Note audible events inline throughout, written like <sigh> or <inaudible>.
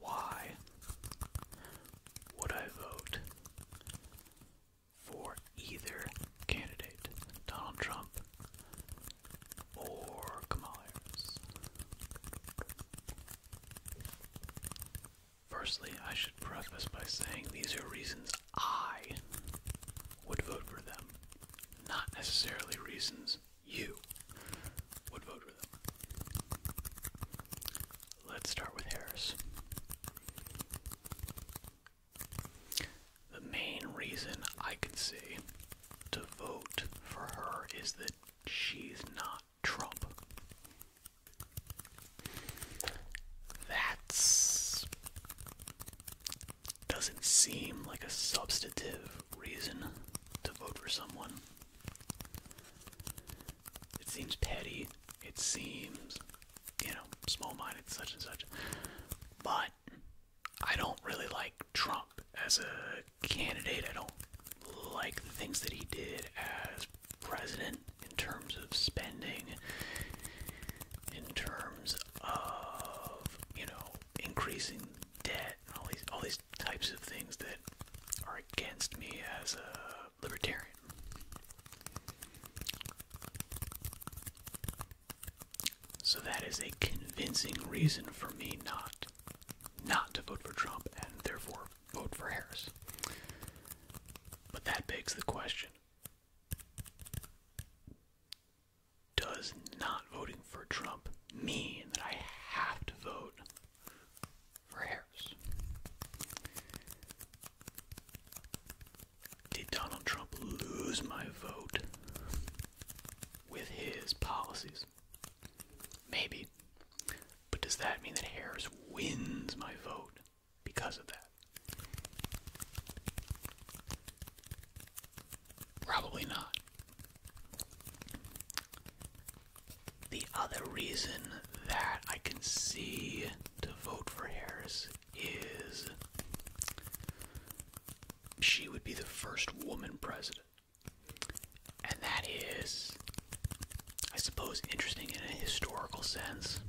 Why would I vote for either candidate, Donald Trump or Kamala Harris? Firstly, I should preface by saying these are reasons I would vote for them, not necessarily reasons you would vote for them. Let's start with Harris. The main reason I can see to vote for her is that she's not Trump. That's doesn't seem like a substantive reason to vote for someone. It seems petty. It seems, you know, small minded, such and such. But I don't really like Trump as a candidate. I don't like the things that he did as president in terms of spending, in terms of, you know, increasing debt all these all these types of things that are against me as a libertarian. So that is a convincing reason for me not not to vote for Trump and therefore vote for Harris. But that begs the question. Does not voting for Trump mean that I have to vote Harris. Did Donald Trump lose my vote with his policies? Maybe. But does that mean that Harris wins my vote because of that? Probably not. The other reason that I can see to vote for Harris is she would be the first woman president. And that is, I suppose, interesting in a historical sense.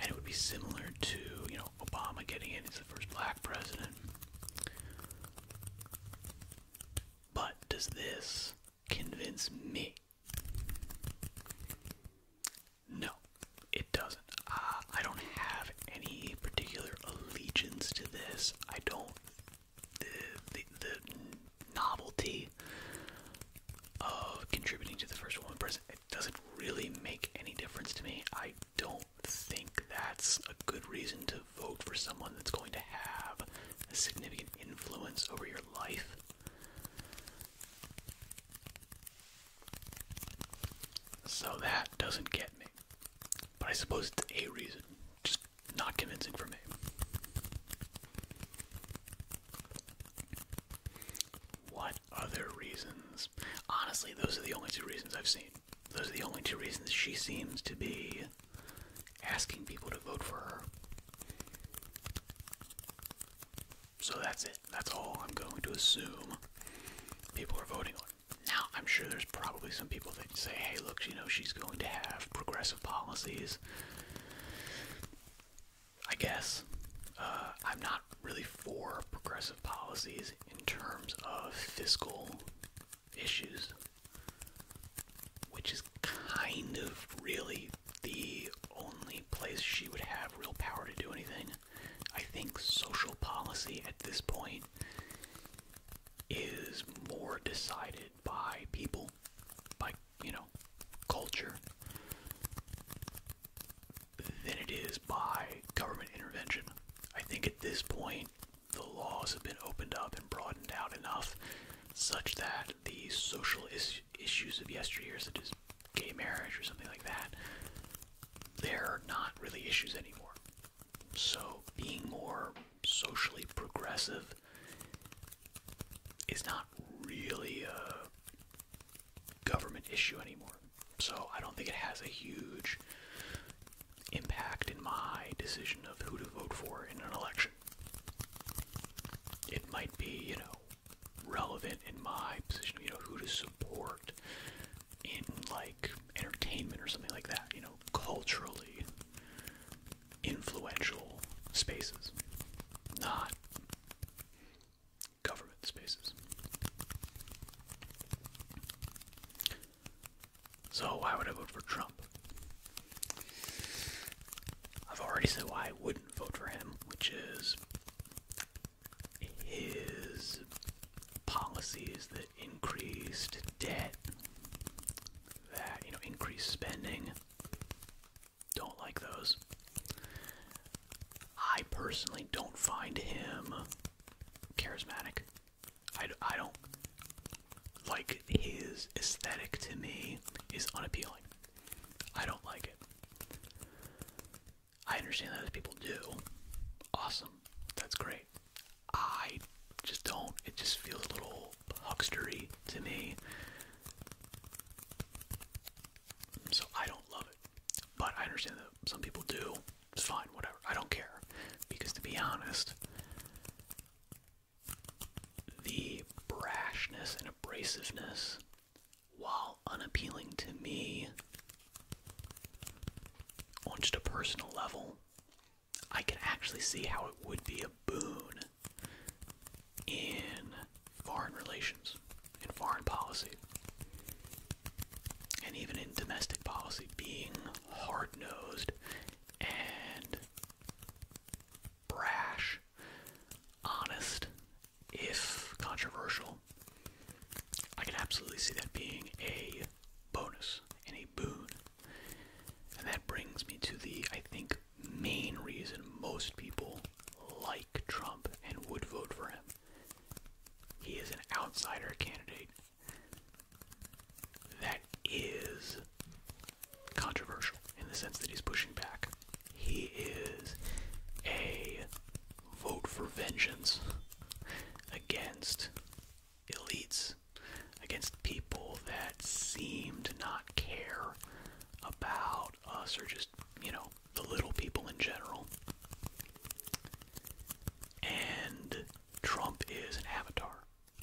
And it would be similar to, you know, Obama getting in as the first black president. But does this convince me. No, it doesn't. Ah, I don't have any particular allegiance to this. I don't. The, the, the novelty of contributing to the first woman president it doesn't really make any difference to me. I don't think that's a good reason to vote for someone that's going to have a significant influence over your life. So that doesn't get me. But I suppose it's a reason. Just not convincing for me. What other reasons? Honestly, those are the only two reasons I've seen. Those are the only two reasons she seems to be asking people to vote for her. So that's it. That's all I'm going to assume people are voting on. Now, I'm sure there's probably some people that say, hey, look, you know, she's going to have progressive policies. I guess. Uh, I'm not really for progressive policies in terms of fiscal issues which is kind of really the only place she would have real power to do anything. I think social policy at this point is more decided by people, by, you know, culture, than it is by government intervention. I think at this point, the laws have been opened up and broadened out enough such that the social issues of yesteryear, such as gay marriage or something like that, they're not really issues anymore. So being more socially progressive is not really a government issue anymore. So I don't think it has a huge impact in my decision of who to vote for in an election. It might be, you know, relevant in my position, you know, who to support in like entertainment or something like that, you know, culturally influential spaces, not government spaces. So why would I vote for Trump? I've already said why I wouldn't vote for him, which is his policies that increased debt, that you know, increased spending. Don't like those. I personally don't find him charismatic. I, I don't like his aesthetic to me is unappealing. I don't like it. I understand that other people do. Awesome. That's great. I just don't. It just feels a little huckstery to me. So I don't love it. But I understand that some people do. It's fine, whatever. I don't care. Because to be honest, the brashness and abrasiveness, while unappealing to me on just a personal level, I can actually see how it would be a boon in foreign relations, in foreign policy, and even in domestic policy, being hard nosed and brash, honest, if controversial. I can absolutely see that being a bonus and a boon. And that brings me to the, I think, main reason most people like Trump and would vote for him. He is an outsider candidate that is controversial in the sense that he's pushing back. He is a vote for vengeance against elites, against people that seem to not care about us or just, you know, the little people in general. And Trump is an avatar.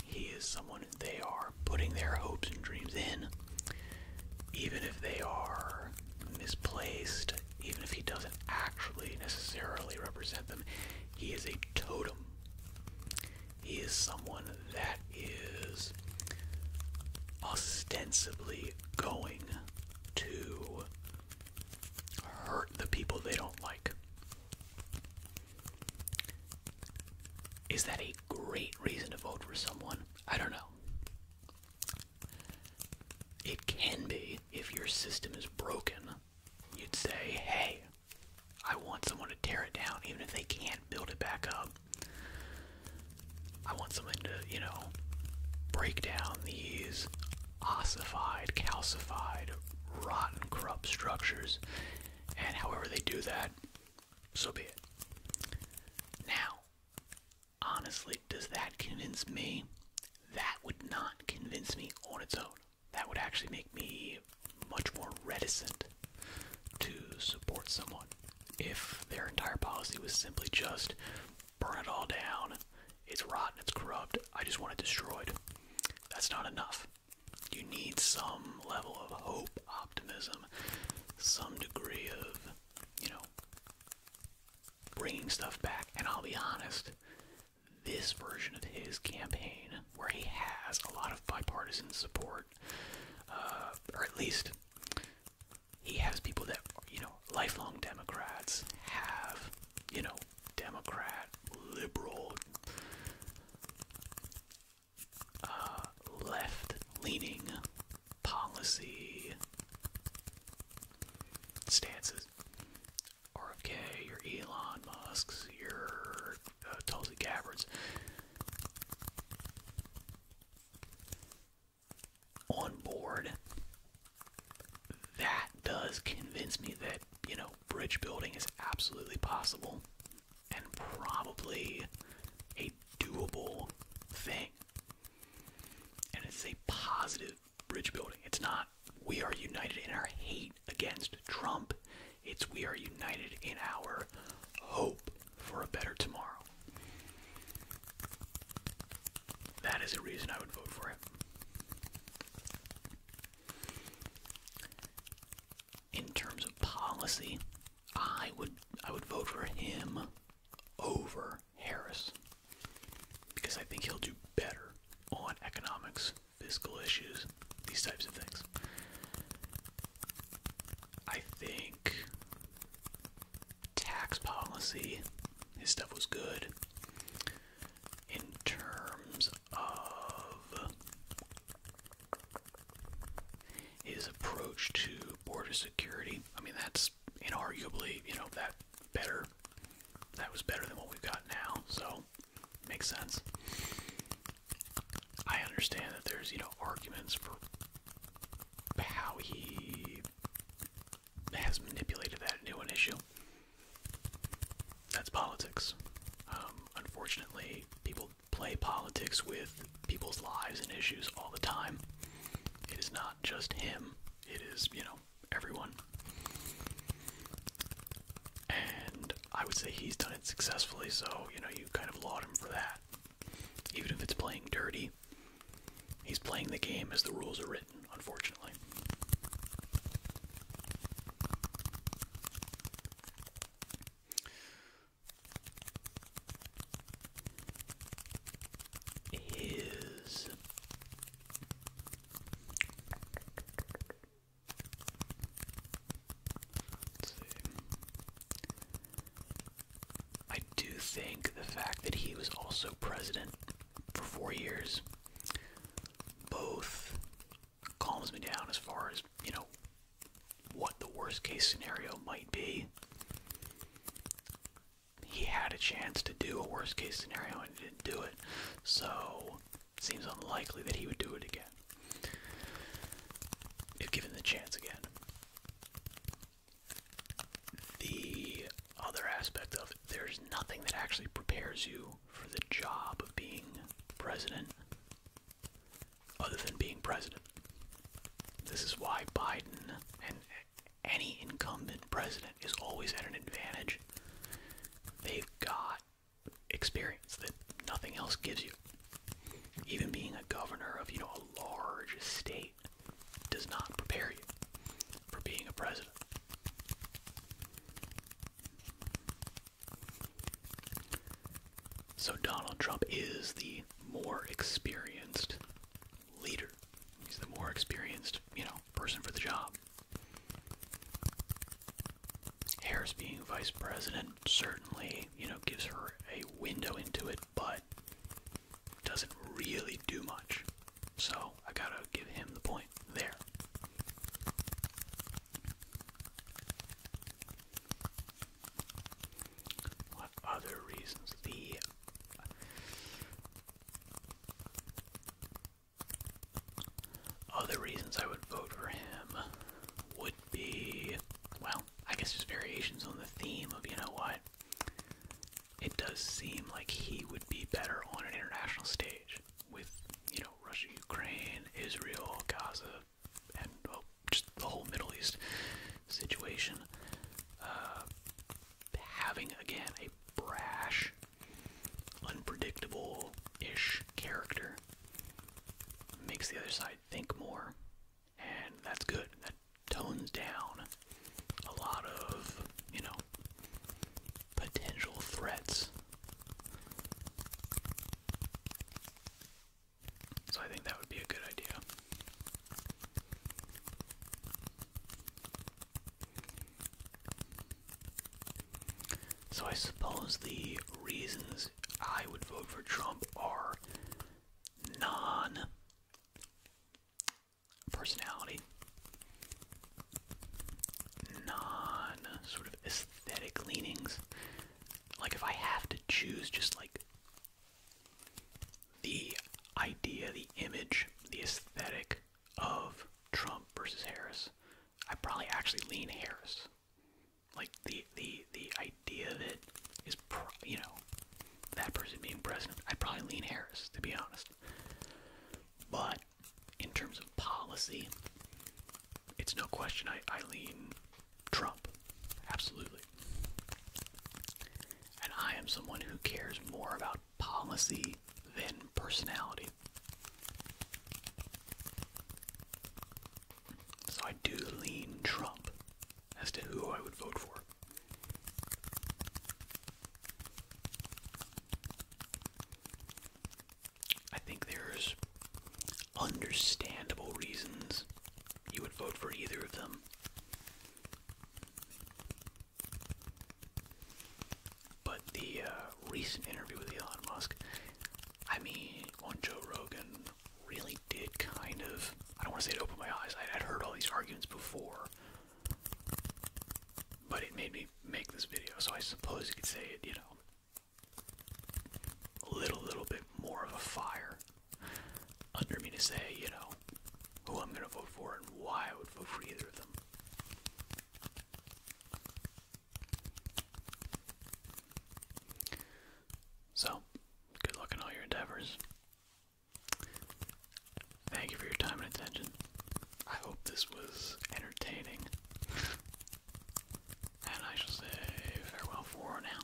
He is someone they are putting their hopes and dreams in, even if they are misplaced, even if he doesn't actually necessarily represent them. He is a totem. He is someone that is ostensibly going to hurt the people they don't like. Is that a great reason to vote for someone? I don't know. It can be if your system is broken. You'd say, hey, I want someone to tear it down, even if they can't build it back up. I want someone to, you know, break down these ossified, calcified, rotten, corrupt structures. And however they do that, so be it. Now, honestly, does that convince me? That would not convince me on its own. That would actually make me much more reticent to support someone if their entire policy was simply just burn it all down, it's rotten, it's corrupt, I just want it destroyed. That's not enough. You need some level of hope, optimism, some degree of, you know, bringing stuff back. And I'll be honest, this version of his campaign, where he has a lot of bipartisan support, uh, or at least he has people that, you know, lifelong Democrats have, you know, Democrat, liberal, uh, left leaning policy stances. RFK, your Elon Musk's, your uh, Tulsi Gabbard's. On board, that does convince me that, you know, bridge building is absolutely possible and probably a doable thing. And it's a positive bridge building. It's not we are united in our hate against Trump, it's we are united in our hope for a better tomorrow. That is a reason I would vote for him. In terms of policy, I would I would vote for him over Harris because I think he'll do better on economics, fiscal issues, these types of things. I think tax policy, his stuff was good. In terms of his approach to border security, I mean, that's inarguably, you know, that better. That was better than what we've got now, so makes sense. I understand that there's, you know, arguments for how he has manipulated that into an issue. That's politics. Um, unfortunately, people play politics with people's lives and issues all the time. It is not just him, it is, you know, everyone. And I would say he's done it successfully, so, you know, you kind of laud him for that. Even if it's playing dirty, he's playing the game as the rules are written, unfortunately is I do think the fact that he was also president for four years both calms me down as far as, you know, what the worst case scenario might be. He had a chance to do a worst case scenario and didn't do it, so it seems unlikely that he would do it again. If given the chance again. The other aspect of there's nothing that actually prepares you for the job of being president other than being president. This is why Biden and any incumbent president is always at an advantage. They've got experience that nothing else gives you. Even being a governor of, you know, a large state does not prepare you for being a president. So Donald Trump is the more experienced leader. He's the more experienced, you know, person for the job. Harris being vice president certainly, you know, gives her a window into it, but doesn't really do much. So I gotta give him the point there. What other reasons? The other reasons I would vote for him would be, well, I guess just variations on the theme of, you know what, it does seem like he would be better on an international stage with, you know, Russia, Ukraine, Israel, Gaza, and just the whole Middle East situation. Uh, having again a brash, unpredictable ish character makes the other side think more, and that's good. That tones down a lot of, you know, potential threats. So I think that would be a good idea. So I suppose the reasons I would vote for Trump are non personality, non sort of aesthetic leanings. Like if I have to choose just like the idea, the image, the aesthetic of Trump versus Harris, I probably actually lean Harris. Like the the the idea of it is, pro you know, that person being president, I probably lean Harris to be honest. But in terms of policy, it's no question I, I lean Trump. Absolutely. And I am someone who cares more about policy than personality. So I do lean Trump as to who I would vote for. I think there's understandable reasons you would vote for either of them. But the uh, recent interview with Elon Musk, I mean, on Joe Rogan, really did kind of. I don't want to say it opened my eyes. I had heard all these arguments before, but it made me make this video. So I suppose you could say it, you know, a little, little bit more of a fire under me to say, you know, who I'm going to vote for and why I would vote for either of them. So, good luck in all your endeavors. Thank you for your time and attention. I hope this was entertaining. <laughs> and I shall say farewell for now.